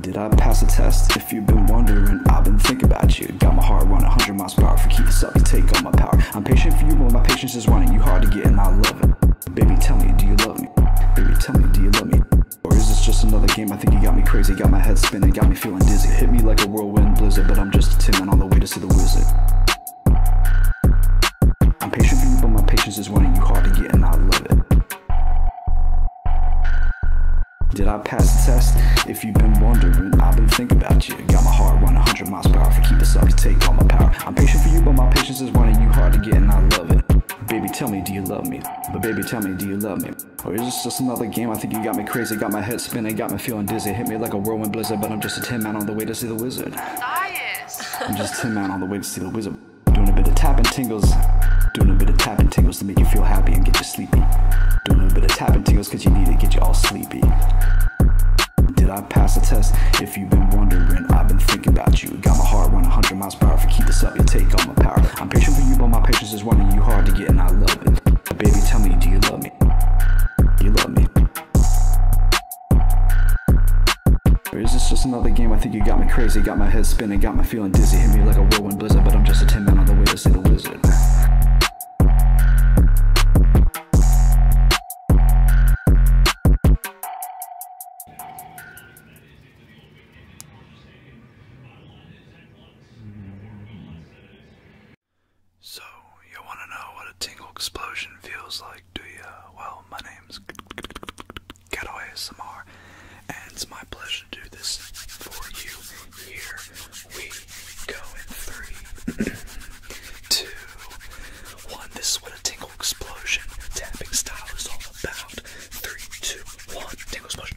Did I pass the test? If you've been wondering, I've been thinking about you. Got my heart running 100 miles per hour. If keep this up, you take all my power. I'm patient for you, but my patience is running. You hard to get, and I love it. Baby, tell me, do you love me? Baby, tell me, do you love me? Or is this just another game? I think you got me crazy, got my head spinning, got me me feeling dizzy. Hit me like a whirlwind blizzard, but I'm just a tin on the way to see the wizard. I'm patient for you, but my patience is running you hard to get, and I love it. Did I pass the test? If you've been wondering, I've been thinking about you. Got my heart running 100 miles per hour. If you keep this up, you take all my power. I'm patient for you, but my patience is running you hard to get, and I love it. Baby, tell me, do you love me? But baby, tell me, do you love me? Or is this just another game? I think you got me crazy, got my head spinning, got me feeling dizzy. Hit me like a whirlwind blizzard, but I'm just a tin man on the way to see the wizard. Dias! I'm just a tin man on the way to see the wizard. Doing a bit of tapping tingles. Doing a bit of tapping tingles to make you feel happy and get you sleepy. Doing a bit of tapping tingles cause you need it, get you all sleepy. Did I pass the test? If you've been wondering, I've been thinking about you. Got my heart 100 miles per hour. If you keep this up, you'll take all my power. I'm patient for you, but my patience is running you hard to get, and I love it. Baby, tell me, do you love me? is this just another game? I think you got me crazy, got my head spinning, got my feeling dizzy. Hit me like a whirlwind blizzard, but I'm just a tin man on the way to see the wizard. So, you wanna know what a tingle explosion feels like, do ya? Well, my name's Getaway Samar, and it's my pleasure to do this for you. Here we go in three, two, one. This is what a tingle explosion tapping style is all about. Three, two, one, tingle explosion.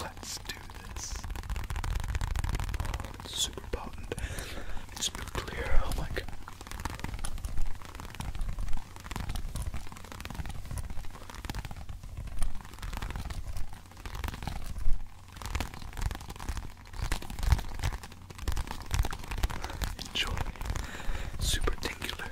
Let's do this. it's super potent. It's nuclear. Oh my god. Enjoy. Super tingular.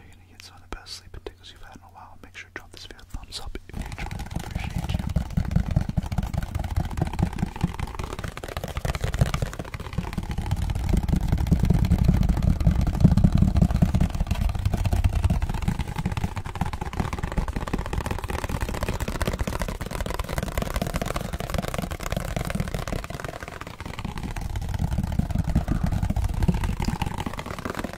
You it's you of the best sleeping tickles you've had in a while. Make sure to drop this video a thumbs up if you enjoyed it. appreciate you.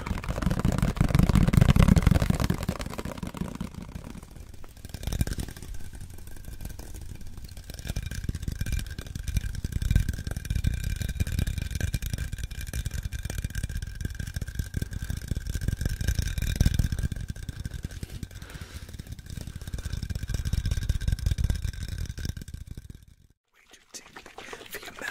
Way to take for your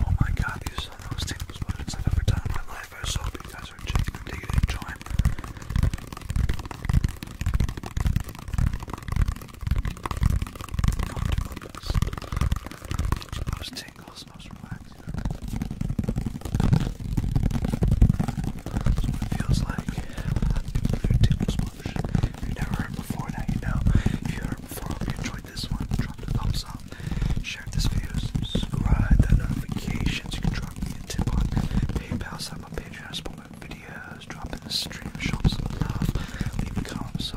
Oh my god, these are the most tingles budgets I've ever done in my life. I hope you guys are just digging and enjoying. Comfortable Most tingles, most relaxing. That's what it feels like. Your tingles budget. If you've never heard before, now you know. If you heard before, hope you enjoyed this one. Drop the thumbs up. Share this video, subscribe, the notifications. You can drop me a tip on PayPal, sign up on Patreon, support my videos, drop in the stream, show some love, leave a comment. So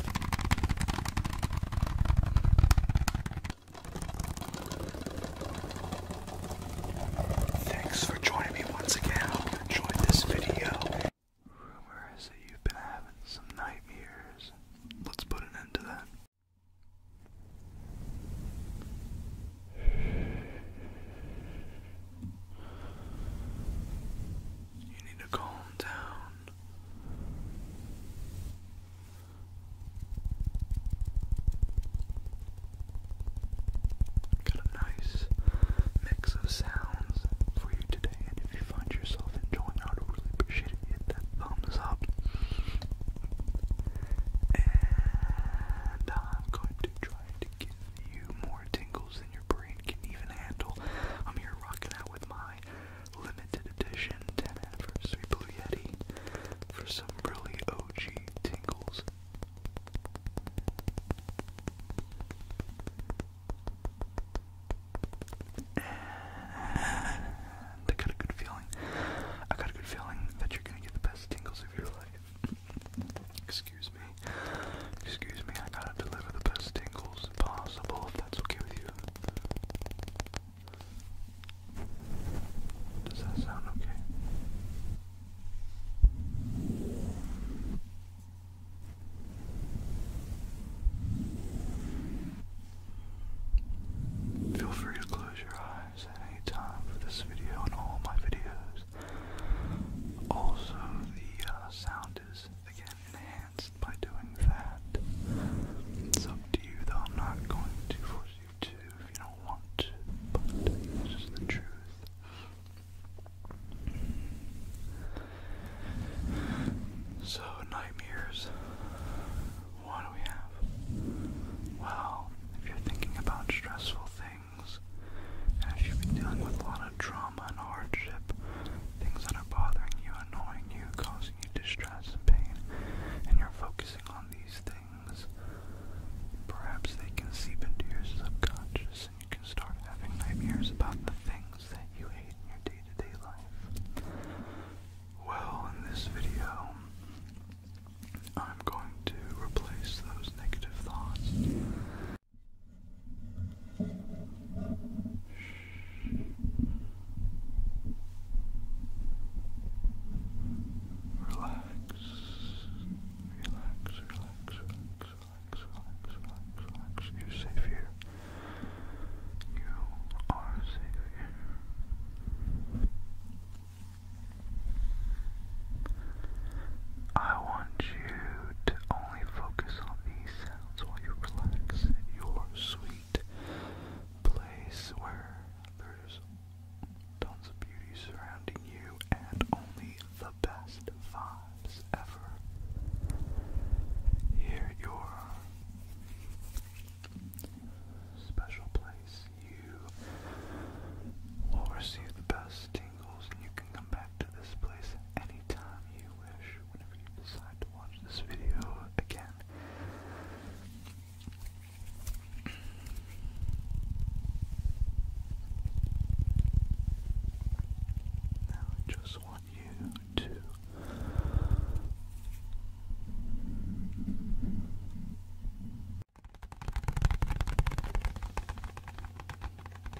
Thanks for joining me once again. enjoyed this video. Rumor that you've been having some nightmares. Let's put an end to that. You need to calm down. Got a nice mix of sounds for you today, and if you find yourself enjoying, I would really appreciate it. Hit that thumbs up. And I'm going to try to give you more tingles than your brain can even handle. I'm here rocking out with my my limited edition 10 anniversary Blue for some really OG tingles. And I got a good feeling. I got a good feeling that you're gonna get the best tingles of your life. Excuse me. Excuse me, I gotta deliver the best tingles upon possible, Does that sound okay? Feel free to close your eyes at for this video and all my videos. Also, the uh, sound is again enhanced by doing that. It's up you, though. I'm not going to force you to if you don't want to, but it's just the truth. So, nightmares. What do we have? Well, if you're thinking about stressful things, and if you've been dealing with a lot of trauma, trauma and hardship, things that are bothering you, annoying you, causing you distress and pain, and you're focusing on these things, perhaps they can seep into your subconscious and you can start having nightmares about the things that you hate in your day to -day life. Well, in this video, I'm going to replace those negative thoughts Relax, relax, relax, relax, relax, relax, You're safe here. You are safe here. I want you to only focus on these sounds while you relax at your sweet place where there's tons of beauty surrounding you and only the best vibes ever. Here your special place, you will receive the best tingles and you can come back to this place anytime you wish whenever you decide to watch this video again. Now I just want you to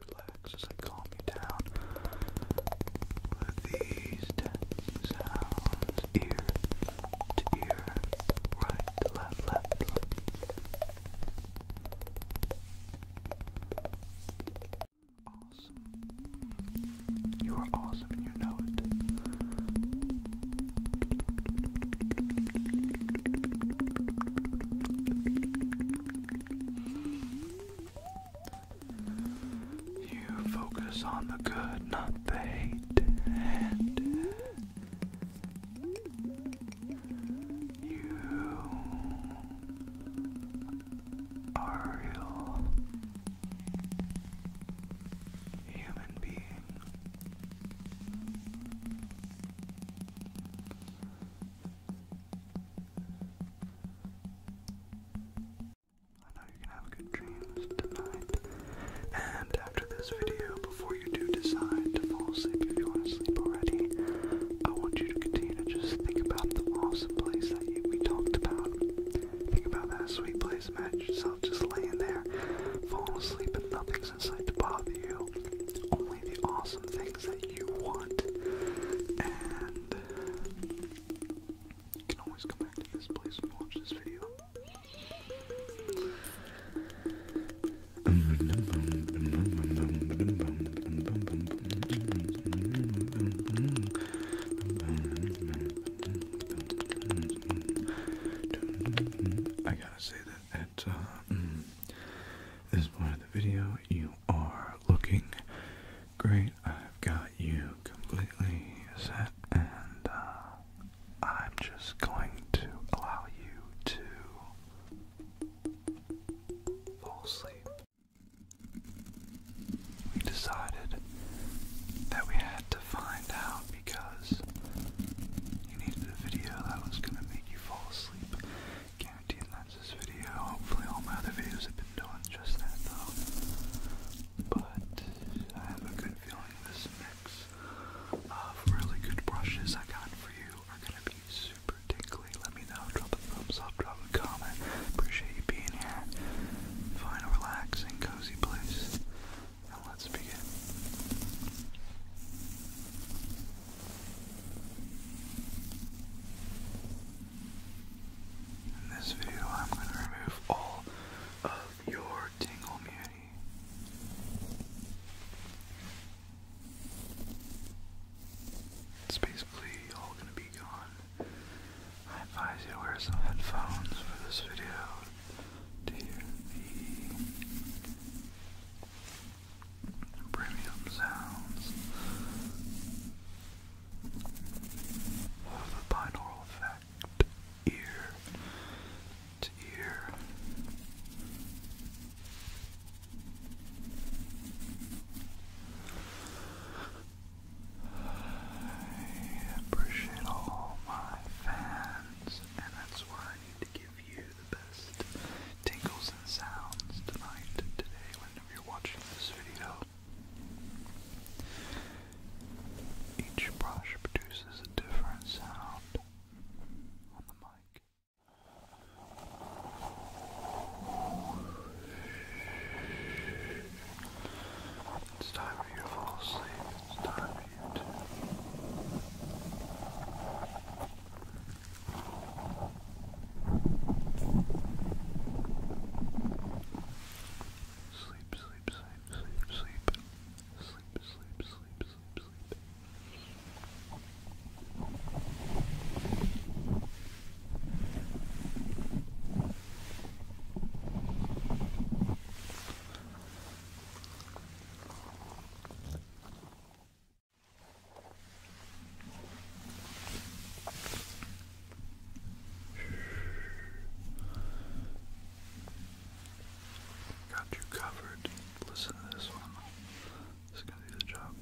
Relax as I calm you down with these dancing sounds, ear to ear, right left, left. Awesome. You are awesome and you know it. You focus on the good, not the hate, you are real human being. I know you can have good dreams tonight. And after this video, before you do decide to fall asleep, if you want to sleep already, I want you to continue to just think about the awesome place that you, we talked about. Think about that sweet place, imagine yourself just laying there, falling asleep, and nothing's things inside to bother you, only the awesome things that you want. And you can always come back to this place and watch this video. I I to say that at uh, mm, this point of the video, you are looking great. I've got you completely set, and uh, I'm just going to allow you to fall asleep. We decided that we had find out because you needed a video that was going to make you fall asleep. Guaranteed that's this video. Hopefully all my other videos have been doing just that though. But I have a good feeling this mix of really good brushes I got for you are going to be super tickly. Let me know. Drop a thumbs up. Drop a comment. Appreciate you being here. Find a relaxing, cozy place let's begin. In this video, I'm going to remove all of your tingle beauty. It's basically all going to be gone. I advise you to wear some headphones for this video to the premium sounds of the binaural effect, ear to ear. I appreciate all my fans, and that's why to give you the best tingles and sounds tonight, today, whenever you're watching this video. Each brush produces a different sound on the mic. It's time for you to fall asleep. It's time right. Sleep, sleep, sleep, sleep, sleep. Sleep, sleep, sleep, sleep, sleep. Got you covered. Listen to this one. It's gonna do the job.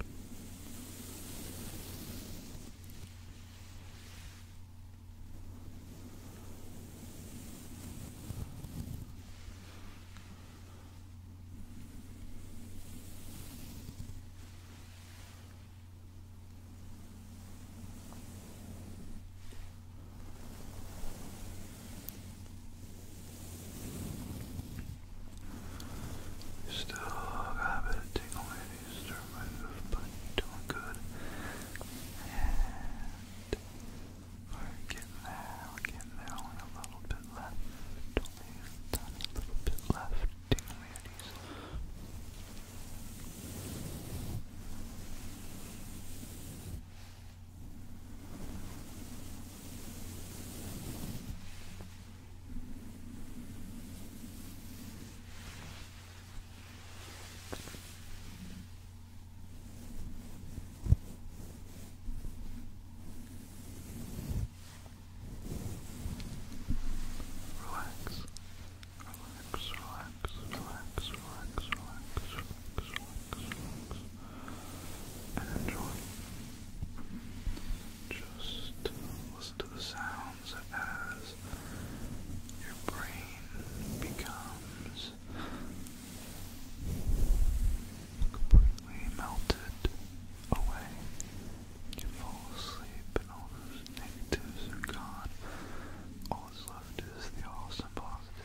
You still got a bit of tingle to remove, but you doing good. We're getting there, we're getting there, only a little bit left, only a little bit left, dingle me Good. Relax. Relax, relax, relax, relax, relax, relax, relax, relax. And enjoy. Just listen to the sounds as your brain becomes completely melted away. You fall asleep and all those negatives are gone. All that's left is the awesome positives.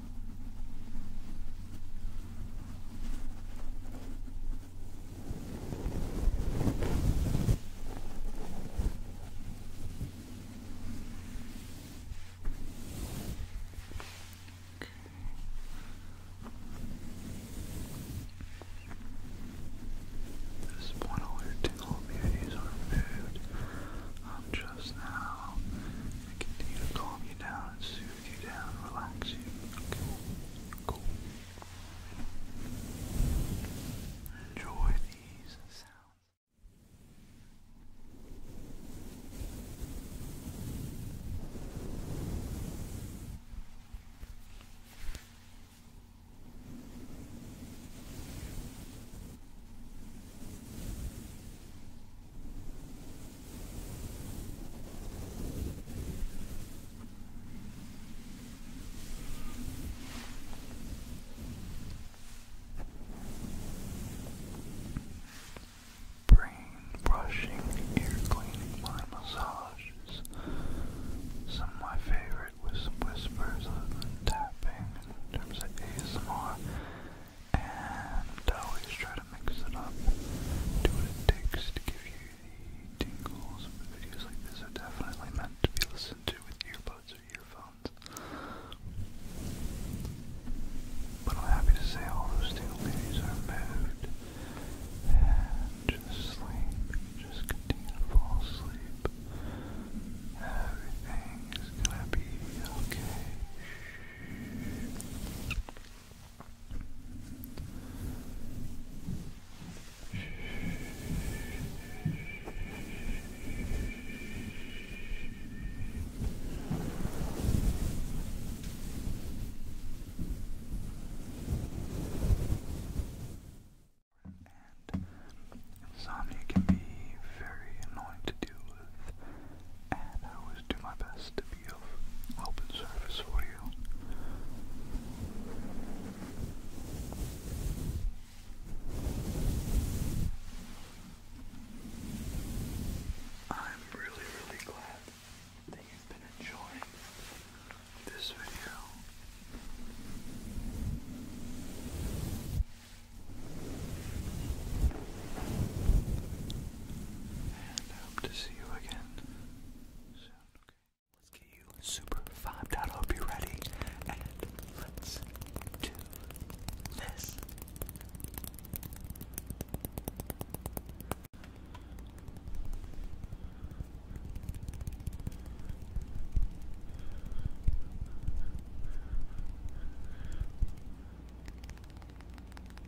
This point all your tingle beauties are food. Um, just now, I continue to calm you down and soothe smooth you down, relax you. Cool. cool. Enjoy these sounds. Brain brushing, ear cleaning, my massages. Some of my favorite was whispers other than tapping in terms of ASMR and always try to mix it up, do what it takes to give you the tingles. videos like this are definitely meant to be listened to with earbuds or earphones. But I'm happy to say all those tingle are moved, and just sleep, just continue to fall asleep. Everything is gonna be okay insomnia can be very annoying to do and I always do my best to be of help and service for you. I'm really, really glad that you've been enjoying this video. And I hope to see you again soon. Okay. Let's get you super vibed out. I hope you're ready. And let's do this.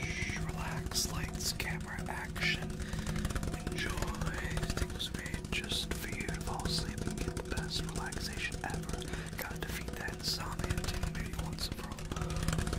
Shh, relax, lights, camera, action. Enjoy. It was made just for you to fall asleep and get the best relaxation ever. Gotta defeat that insomnia too, maybe once and for all.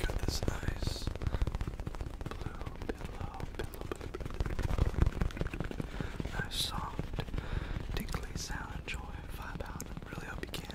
Got this nice blue pillow, pillow, pillow. Nice soft, tingly sound and joy vibe out. Really hope you can.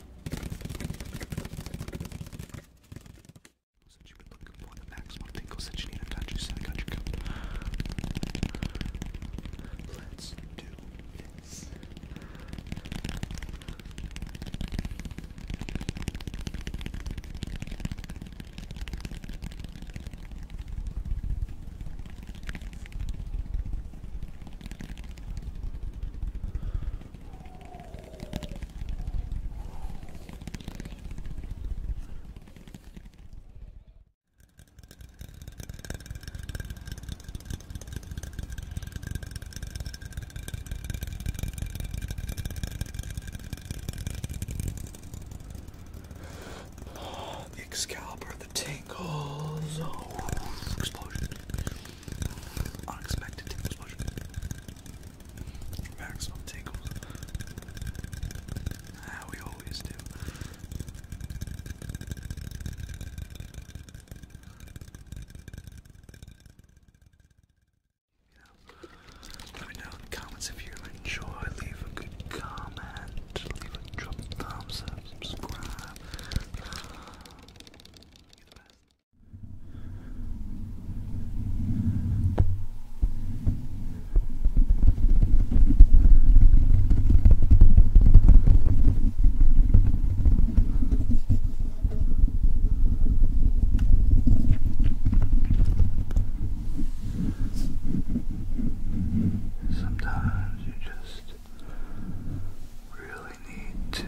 Since you've been looking for the maximum tingles that you need, I got you, so I got you covered. Let's do this. Ooh, the Excalibur, the tingles, oh, explosion. Unexpected tingles push. Maximum tingles. How ah, we always do. let me know in the comments if you enjoy. Leave a good comment. Leave a drop thumbs up. Subscribe. You're the best. Sometimes you just really need to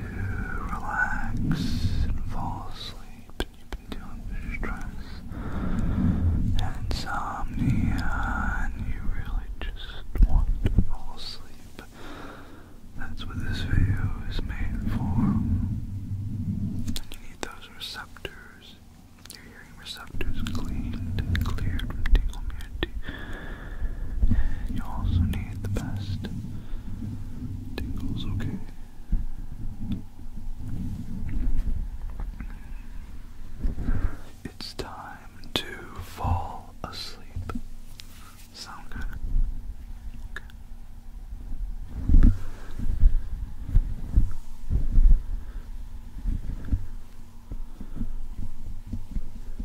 relax and fall asleep and you've been dealing stress and insomnia and you really just want to fall asleep, that's what this video is made for. And you need those receptors, your hearing receptors cleaned cleared from tingle you also need the best tingles, okay? It's time to fall asleep. Sound good? Okay.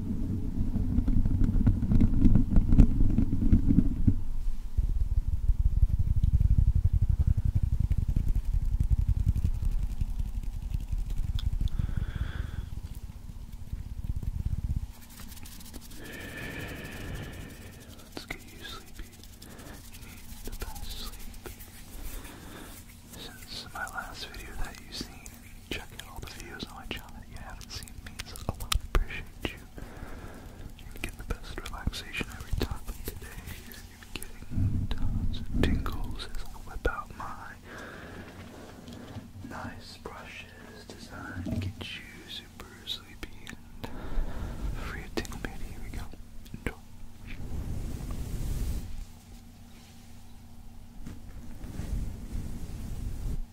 Let's get you sleepy. need the best sleep. Since my last video that you've seen, check out all the videos on my channel that you haven't seen means a lot. Appreciate you. You get the best relaxation every time, today you're getting tons of tingles I whip out my nice brushes designed to get you super sleepy and free of tingle Here we go. Enjoy.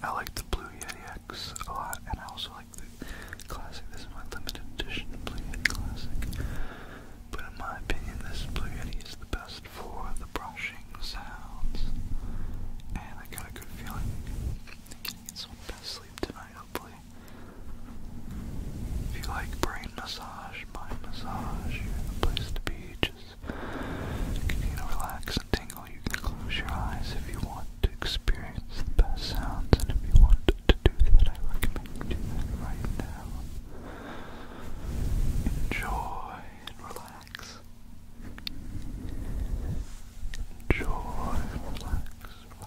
I like the Blue Yeti X a lot, and I also like the Classic. This is my limited edition Blue Yeti Classic. But in my opinion, this Blue Yeti is the best for the brushing sounds. And I got a good feeling. I'm gonna some best sleep tonight, hopefully actually. If you like brain massage, mind massage, you're the place to be. Just continue to relax and tingle. You can close your eyes if you want to experience the best sounds, and if you want to do that, I recommend you do that right now. Enjoy and relax. Enjoy and relax.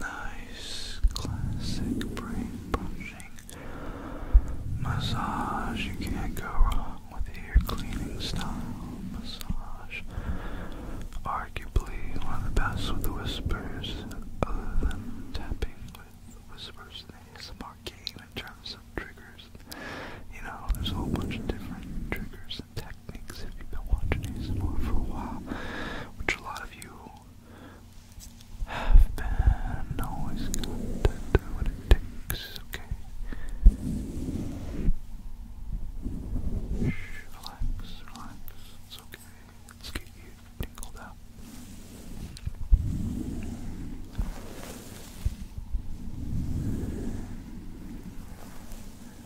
nice classic brain brushing massage. You can't go wrong with the ear cleaning style massage. Arguably one of the best with the whispers, other than tapping with whispers. It's a mark game in terms of triggers. You know, there's a whole bunch of different triggers and techniques techniques if you've been watching ASMR for a while, which a lot of you have been always do what it takes, okay? Shh, relax, relax, it's okay. Let's get you tingled up.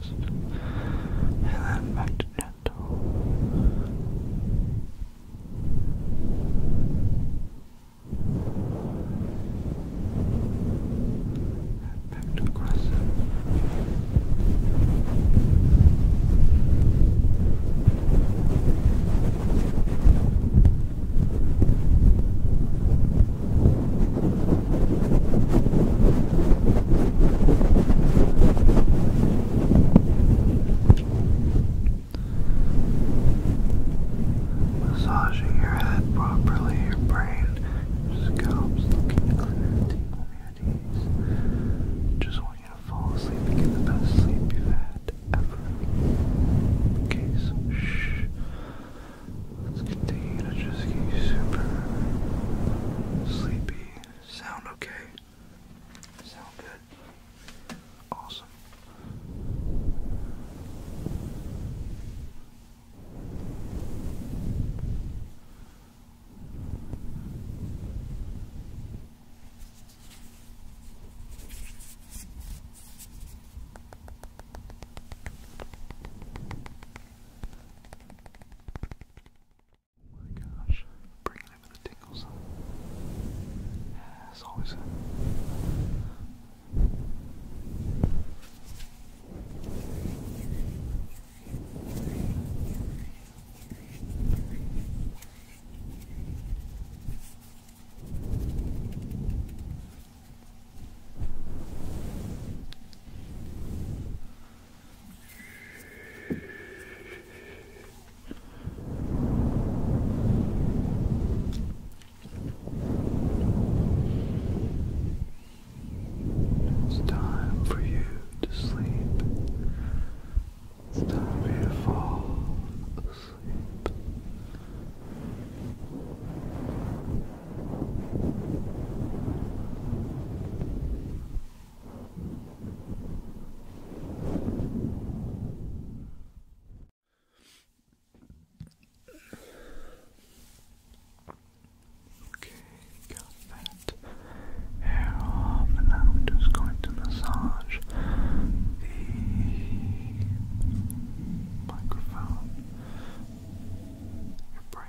fast. And then back to gentle. And back to aggressive. Massaging your head properly, your brain, your scalp's looking clear, tingle Just want you to fall asleep and get the best sleep you've had ever. Okay, so shh. Let's continue to just get you super sleepy. Sound okay? Sound good? Awesome. Oh my gosh, bringing over the tingles. As always. It's time for you to sleep. It's time for you to fall asleep. Okay, got that hair off, and now I'm just going to massage the microphone, your brain.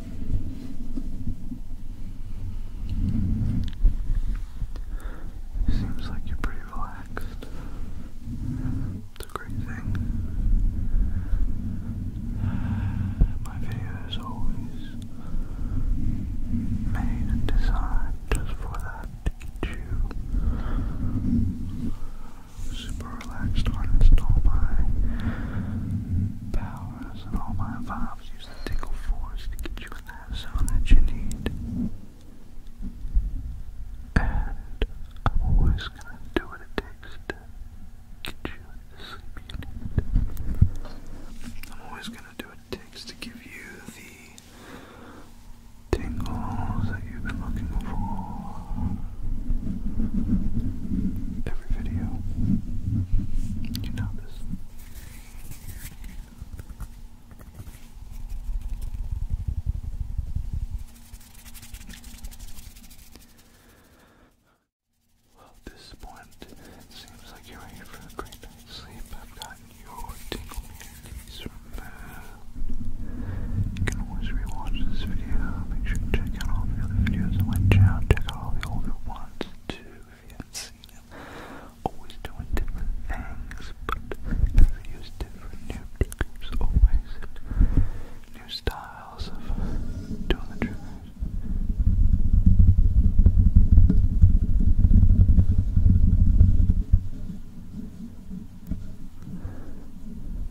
Seems like you're pretty relaxed. It's a great thing. My video is always made and designed just for that to get you super relaxed artist. All my powers and all my vibes use the tickle force to get you in that zone that you need. And I'm always gonna do what it takes to get you the sleep you need. I'm always gonna do what it takes to give you the tingles that you've been looking for every video. You notice. Well, this point, seems like you're ready for a great night's sleep. I've gotten your tingle immunities removed. You uh, always rewatched this video, make sure you check out all the other videos on my channel. Check out all the older ones too if you haven't seen them. Always doing different things, but the different. New groups always, new styles of doing the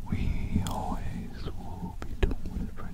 We always will be doing whatever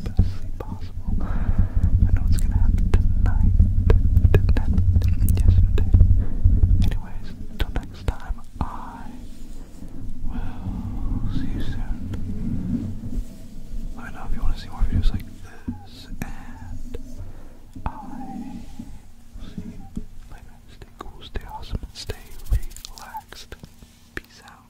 best sleep possible. I know it's gonna happen tonight. did yesterday. Anyways, until next time, I will see you soon. Let me know if you want to see more videos like this, and I will see you later. Stay cool, stay awesome, stay relaxed. Peace out.